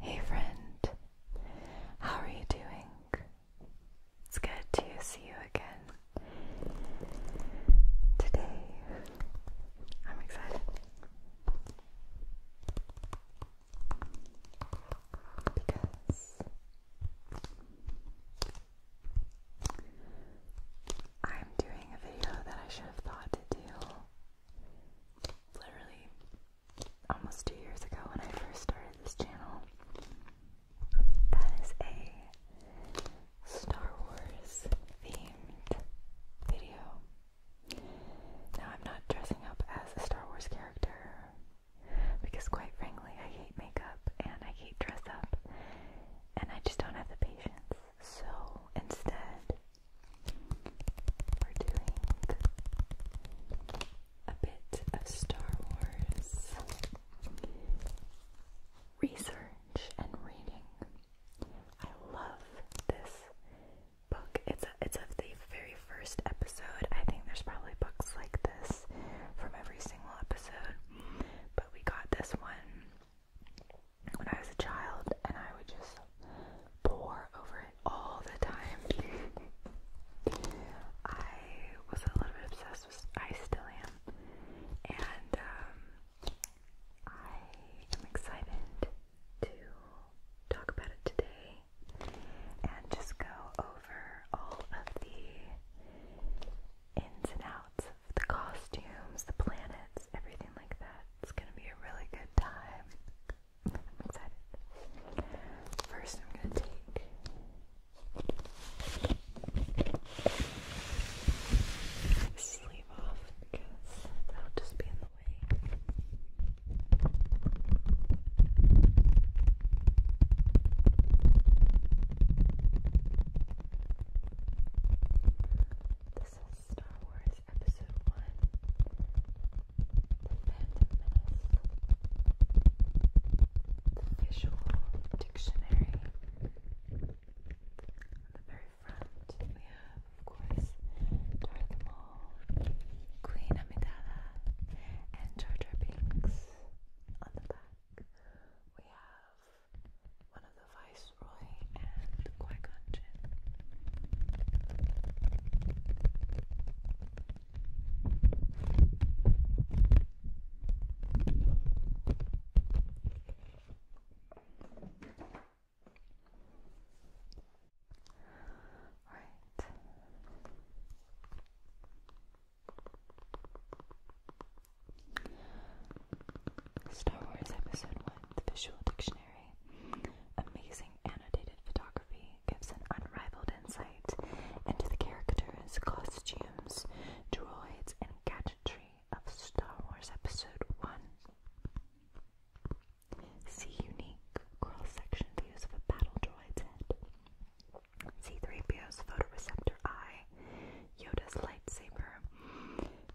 Hey friend, how are you doing? It's good to see you again. Today, I'm excited because I'm doing a video that I should have thought to do literally almost two years ago when I first started this channel. That is a Star Wars themed video. Now, I'm not dressing up as a Star Wars character because, quite frankly, I hate makeup and I hate dress up and I just don't have the patience. So, instead, we're doing a bit of Star Wars research and reading. I love this book. It's a, it's of the very first episode. I think there's probably books like this from every single episode, but we got this one when I was a child, and I would just pour over it all the time. I was a little bit obsessed I still am, and um, I am excited to talk about it today and just go over all of the ins and outs of the costumes, the planets, everything like that. It's gonna be a really good time. First, I'm going to take. Sleeve off because that'll just be in the way. This is Star Wars episode one The Phantom The visual dictionary. On the very front, we have, of course, Darth Maul, Queen Amidala, and Jar Jar On the back, we have one of the viceroys Star Wars Episode One: The Visual Dictionary Amazing annotated photography gives an unrivaled insight into the characters, costumes, droids, and gadgetry of Star Wars Episode 1. See unique cross-section views of a battle droid's head. C-3PO's photoreceptor eye, Yoda's lightsaber.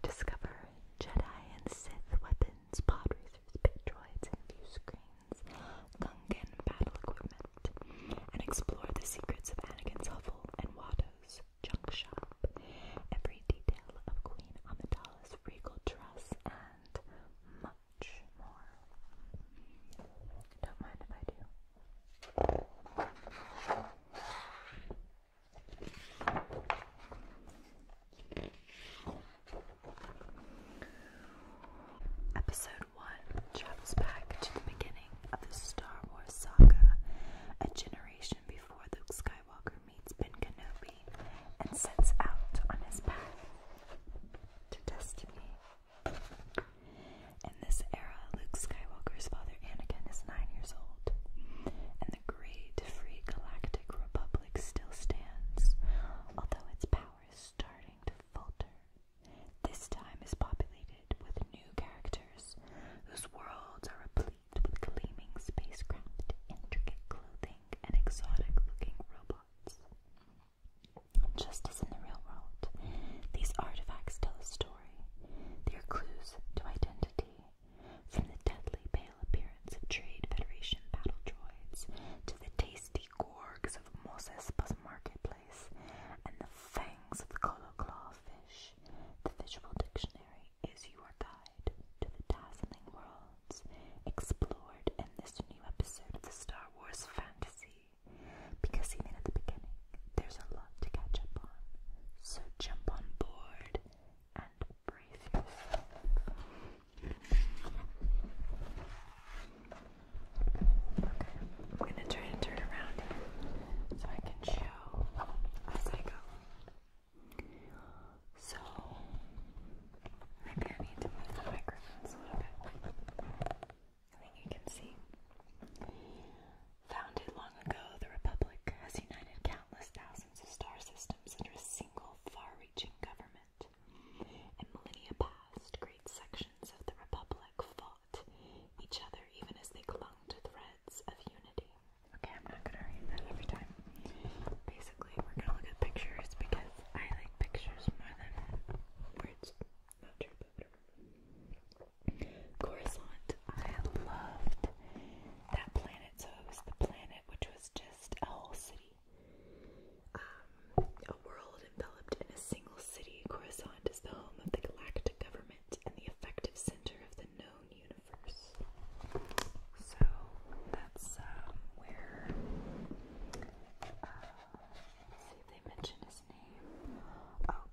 Discover Jedi and Sith weapons weapons, pod racers, pit droids, and view screens, battle equipment, and explore the secrets of Anakin's hovel and Watto's junk shop, every detail of Queen Amidala's regal dress, and much more. Don't mind if I do. Episode 1 travels back to the beginning of the Star Wars saga, a generation before Luke Skywalker meets Ben Kenobi and sets out on his path to destiny. In this era, Luke Skywalker's father Anakin is nine years old, and the Great Free Galactic Republic still stands, although its power is starting to falter. This time is populated with new characters whose worlds are replete with gleaming spacecraft, intricate clothing, and exotic-looking robots. Just as in the real world, these artifacts tell a story. They are clues to identity, from the deadly pale appearance of Trade Federation battle droids to the tasty gorgs of Mos Espas Marketplace and the fangs of the Coloclaw fish, the visual dictionary is your guide to the dazzling worlds explored in this new episode of the Star Wars Fantasy. Because even at the beginning, there's a lot to catch up on. So jump on board and brace Okay, I'm going to try and turn around so I can show as I go. So, maybe need to move the microphones a little bit. I think you can see. Founded long ago, the Republic has united countless thousands of star systems under a single far reaching government. And millennia past, great sections of the Republic fought each other even as they clung to threads of unity. Okay, I'm not gonna read that every time. Basically, we're gonna look at pictures because I like pictures more than words. Not I loved that planet so it was the planet, which was just a whole city. Um, a world enveloped in a single city, Coruscant is the home of the galactic government and the effective center of the known universe. So that's um, where. Uh, see they mention his name. Oh.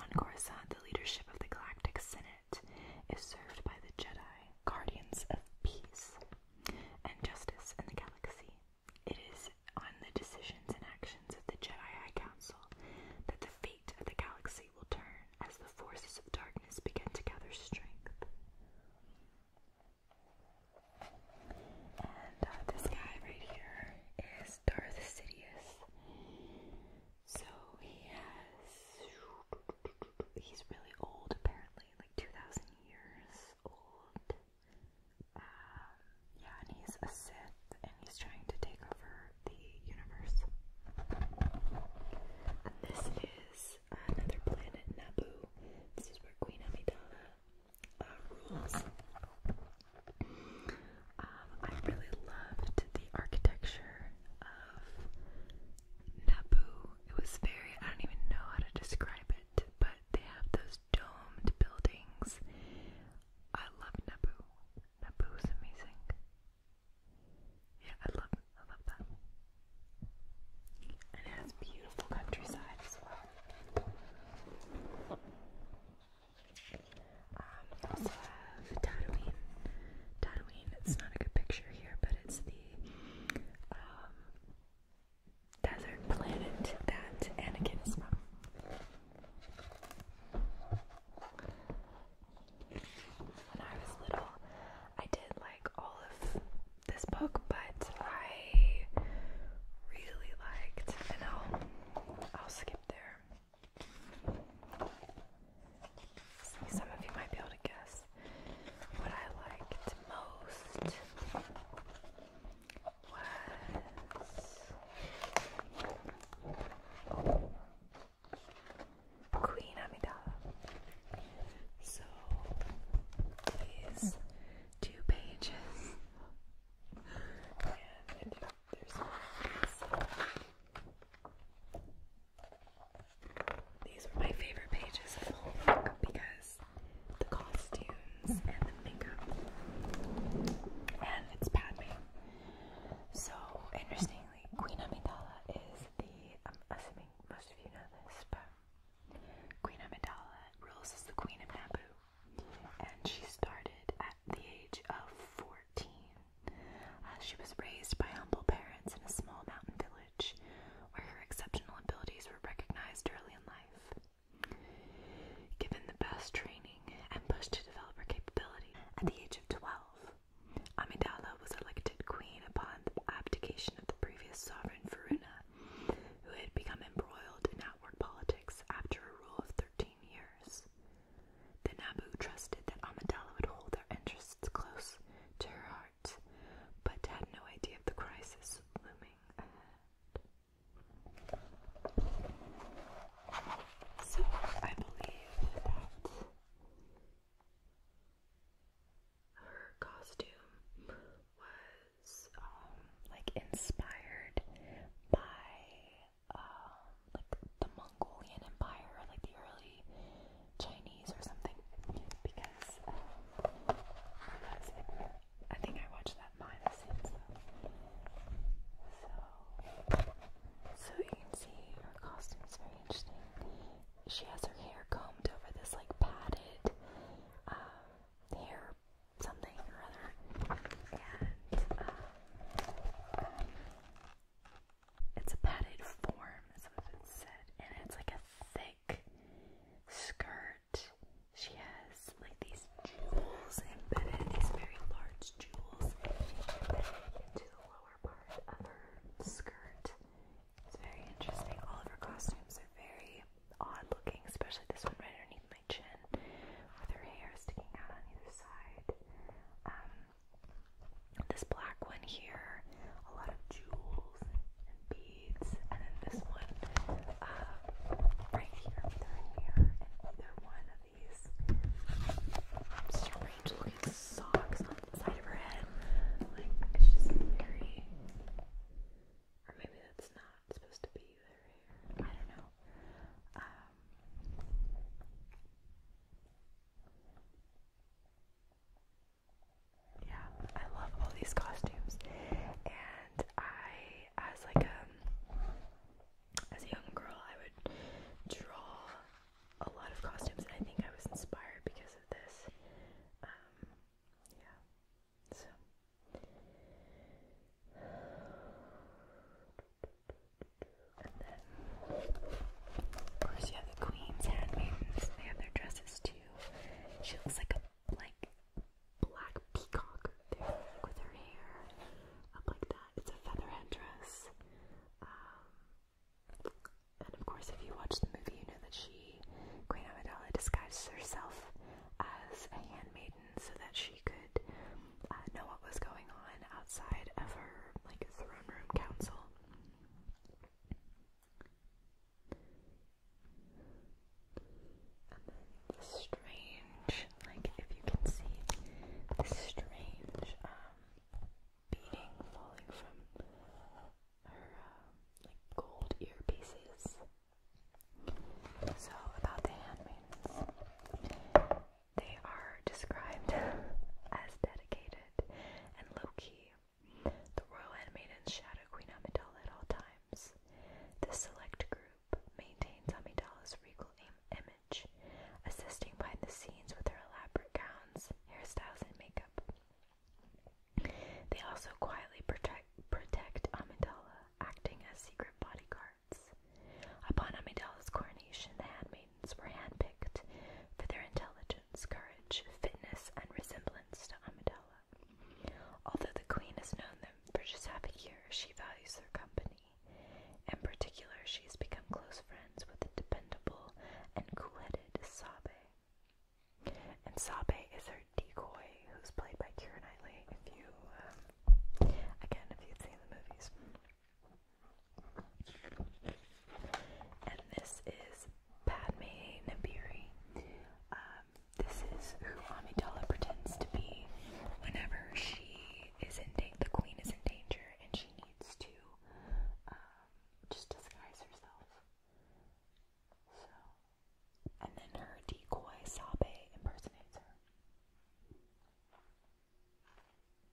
On Coruscant, the leadership of the Galactic Senate is served by the Jedi, Guardians of Peace and Justice in the Galaxy. It is on the decisions and actions of the Jedi Council that the fate of the galaxy will turn as the forces of darkness begin to gather strength. And uh, this guy right here is Darth Sidious. So he has. He's really old, apparently, like 2,000 years old. Um, yeah, and he's a Sith, and he's trying to take over the universe. And this is another planet, Naboo. This is where Queen Amidala uh, rules. Uh, I really loved the architecture of Naboo. It was very, I don't even know how to describe it, but they have those domed buildings. I love Naboo. Naboo is amazing. Yeah, I love I love that. And it has beautiful countryside as well. Um, also have Tatooine. Tatooine, it's not a good picture here, but it's the um, desert planet that Anakin is from. When I was little, I did like all of this book, but I really liked, and I'll, I'll skip there some of you might be able to guess what I liked most was Queen Amidala. So these two pages, there's some These were my favorite pages of the whole book because the costumes and the makeup and it's Padme. So interestingly, Queen Amidala is the assuming most of you know this, but Queen Amidala rules as the Queen of Naboo, and she started at the age of fourteen uh, she was raised by humble parents in a small mountain village where her exceptional abilities were recognized early in life. Given the best training and pushed to develop her capability at the age of 12, Amidala was elected queen upon the abdication of the previous sovereign Varuna, who had become embroiled in outward politics after a rule of 13 years. The Nabu trusted that Amidala would hold their interests close to her heart, but had no idea of the crisis looming So I believe that her costume was um, like inspired by um, like the Mongolian Empire or like the early Chinese or something because um, I think I watched that behind since. So, so you can see her costume is very interesting. She has her hair combed over this like padded um, hair something or other, and um, it's a padded form, as it said, and it's like a thick skirt. She has like these jewels embedded, these very large jewels into the lower part of her skirt. It's very interesting. All of her costumes are very odd looking, especially this one right underneath my chin with her hair sticking out on either side. Um, this black one here, a lot of jewels and beads, and then this one uh, right here with her one of these strange looking socks on the side of her head. Like, it's just very. Or maybe that's not supposed to be their I don't know. Um, yeah, I love all these costumes, and I, as like um, as a young girl, I would draw a lot of costumes, and I think I was inspired because of this. Um, yeah, and of course, you have the queen's handmaidens. They have their dresses too. She looks like a like black peacock with her hair up like that. It's a feather head um, and of course, if you watch the movie, you know that she, Queen Amidala, disguises herself as a handmaiden so that she could uh, know what was going on outside of her like throne room council. strange, like if you can see, this strange um, falling from her uh, like gold earpieces. So about the handmaidens. They are described as dedicated and low-key. The royal handmaidens shadow Queen Amidala at all times. This select group maintains Amidala's regal image, assisting behind the scenes with their elaborate gowns, hairstyles, and makeup. They also quietly protect protect Amidala, acting as secret bodyguards. Upon Amidalla's coronation, the handmaidens were handpicked for their intelligence, courage, fitness, and resemblance to Amidala. Although the queen has known them for just half a year, she values their company. In particular, she has become close friends with the dependable and cool-headed Sabe. And Sabe is her decoy, who's played by Keira Knightley, if you um, Again, if you'd seen the movies. And this is Padme Nabiri. Um, this is who Amidala pretends to be whenever she is in danger, the queen is in danger, and she needs to um, just disguise herself. So, and then her decoy Sabe impersonates her. I love these movies so much.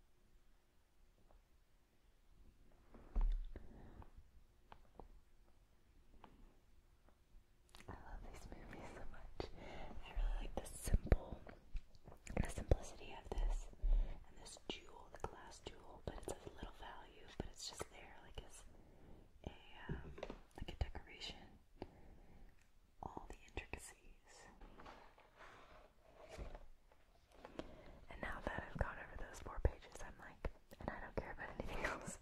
I really like the simple, the simplicity of this, and this jewel, the glass jewel, but it's of little value, but it's just there, like as a um, like a decoration all the intricacies. And now that I've gone over those four pages, I'm like, and I don't care about anything else.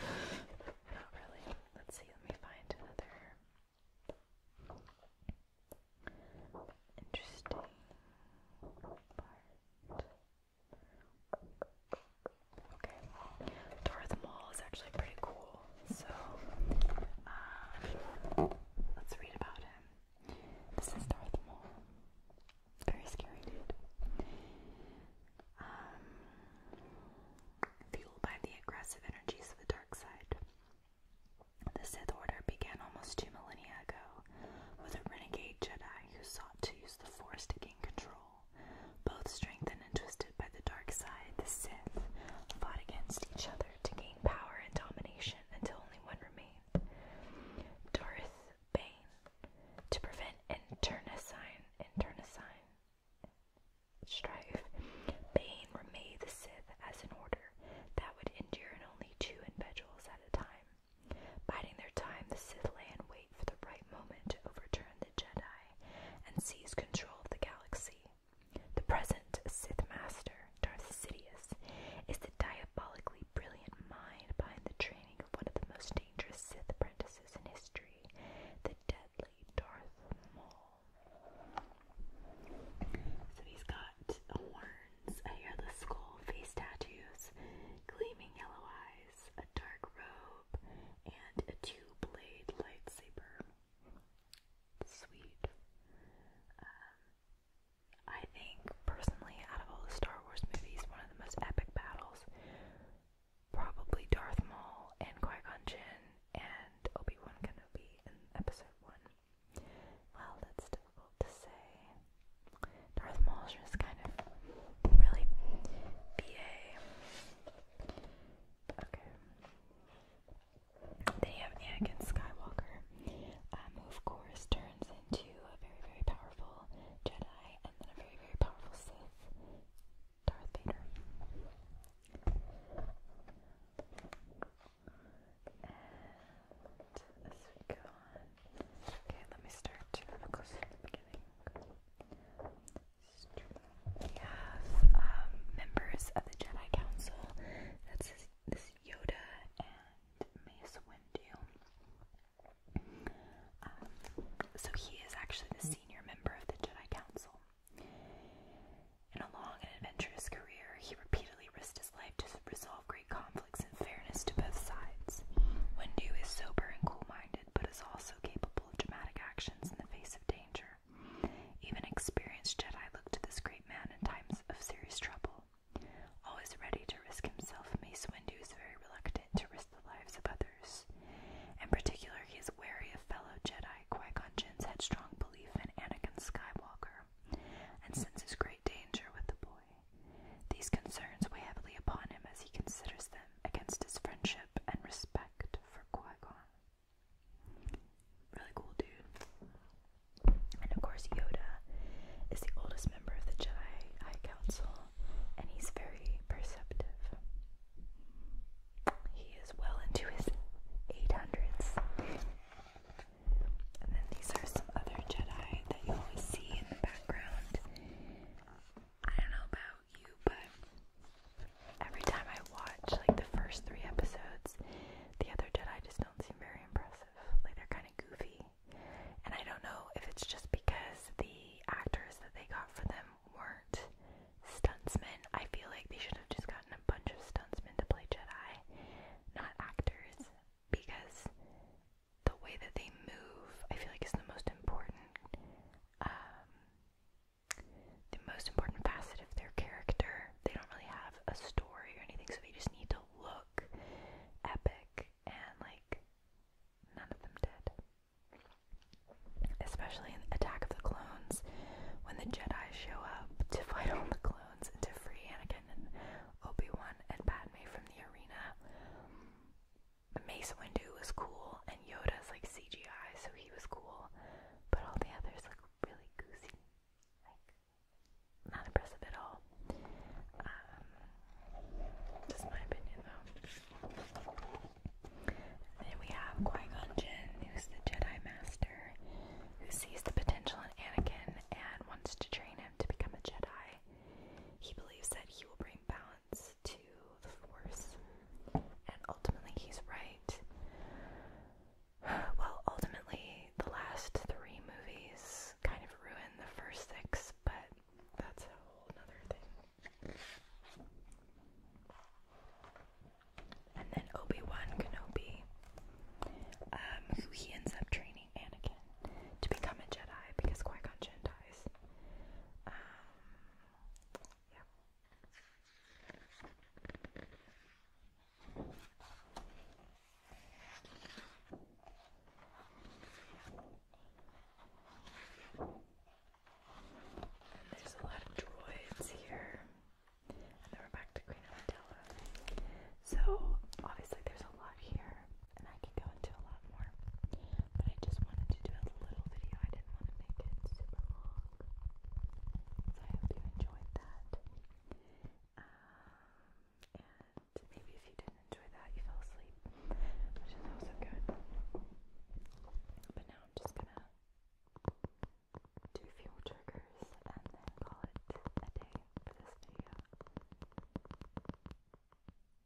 Not really. Let's see, let me find another interesting part. Okay. Tour of is actually pretty cool. So, um, let's read about him. This is Darth Maul. Very scary dude. Um, by the aggressive energies of the dark side. The Sith Order began almost two millennia ago with a renegade Jedi who sought to use the Force to gain control. Both strengthened and twisted by the dark side, the Sith fought against each other to gain power and domination until only one remained Darth Bane. To prevent internecine, internecine strife, Bane remade the Sith as an order that would endure in only two individuals at a time. Biding their time, the Sith lay wait for the right moment to overturn the Jedi and seize control of the galaxy. The present Sith Master, Darth Sidious, is the diabolically brilliant mind behind the training of one of the most dangerous Sith apprentices in history, the deadly Darth Maul. So he's got horns, a hairless skull, face tattoos, gleaming yellow eyes, a dark robe, and a two-blade lightsaber. Sweet. Um, I think personally, out of all the Star Wars movies, one of the most epic battles, probably Darth Maul and Qui Gon Jinn and Obi Wan Kenobi in Episode One. Well, that's difficult to say. Darth Maul just kind of really BA. Okay. Then have Anakin Skywalker, um, who of course turns into a very, very powerful Jedi and then a very, very powerful Sith, Darth Vader. okay, let me start to look closer to the beginning. We have um, members of the Jedi Council. That's this, Yoda and Mace Windu. Um, so he is actually the senior member of the Jedi Council. In a long and adventurous career, he repeatedly risked his life to resolve great conflicts in fairness to both sides. Windu is sober and cool minded, but is also capable of dramatic actions in the face of danger. Even experienced Jedi look to this great man in times of serious trouble. Always ready to risk himself, Mace Windu is very reluctant to risk the lives of others. In particular, he is wary of fellow Jedi Qui-Gon headstrong belief in Anakin Skywalker, and senses great danger with the boy. These concerns weigh heavily upon him as he considers them against his friendship and respect for Qui-Gon. Really cool dude. And of course Yoda is the oldest member of the Jedi Council and he's very perceptive. He is well into his 800s. And then these are some other Jedi that you always see in the background. I don't know about you, but every time I watch like the first three episodes, the other Jedi just don't seem very impressive. Like they're kind of goofy, and I don't know if it's just because the actors that they got for them weren't stuntsmen. I feel like they should have just gotten a bunch of stuntsmen to play Jedi, not actors, because the way that they move, I feel like, is the most important um, the most important facet of their character. They don't really have a story or anything, so they just need to look epic, and like none of them did. Especially in Attack of the Clones, when the Jedi show up to fight all the clones and to free Anakin and Obi Wan and Padme from the arena. Mace Windu was cool, and Yoda's like CGI, so he was cool. But all the others look really goosey, like not impressive at all. Um, just my opinion, though. then we have Qui Gon Jinn, who's the Jedi Master, who sees the potential in Anakin and wants to train him to become a Jedi. He believes that he will bring balance to the Force. And ultimately, he's right. Well, ultimately, the last three movies kind of ruin the first six, but that's a whole other thing. And then Obi-Wan Kenobi, um, who he ends up training Anakin to become a Jedi because Qui-Gon Jinn dies. Um, there's a lot of droids here. And then we're back to Queen Amidala. So obviously there's a lot here, and I can go into a lot more. But I just wanted to do a little video. I didn't want to make it super long. So I hope you enjoyed that. Um, and maybe if you didn't enjoy that, you fell asleep, which is also good. But now I'm just gonna do a few triggers and call it a day for this video.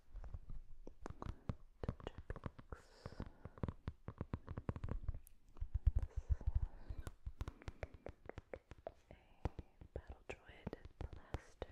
a battle droid blaster. This is a Naboo blaster.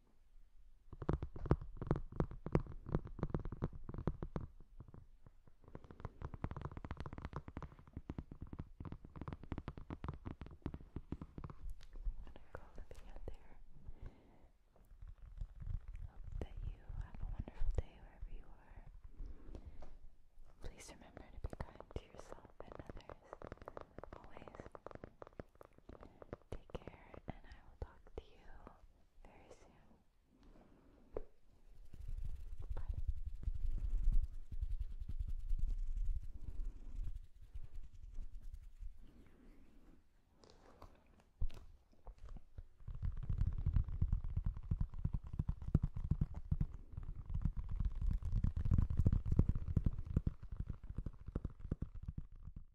call nothing out there. Hope that you have a wonderful day wherever you are. Please remember to be kind to yourself and others. Always. Take care, and I will talk to you very soon. Bye.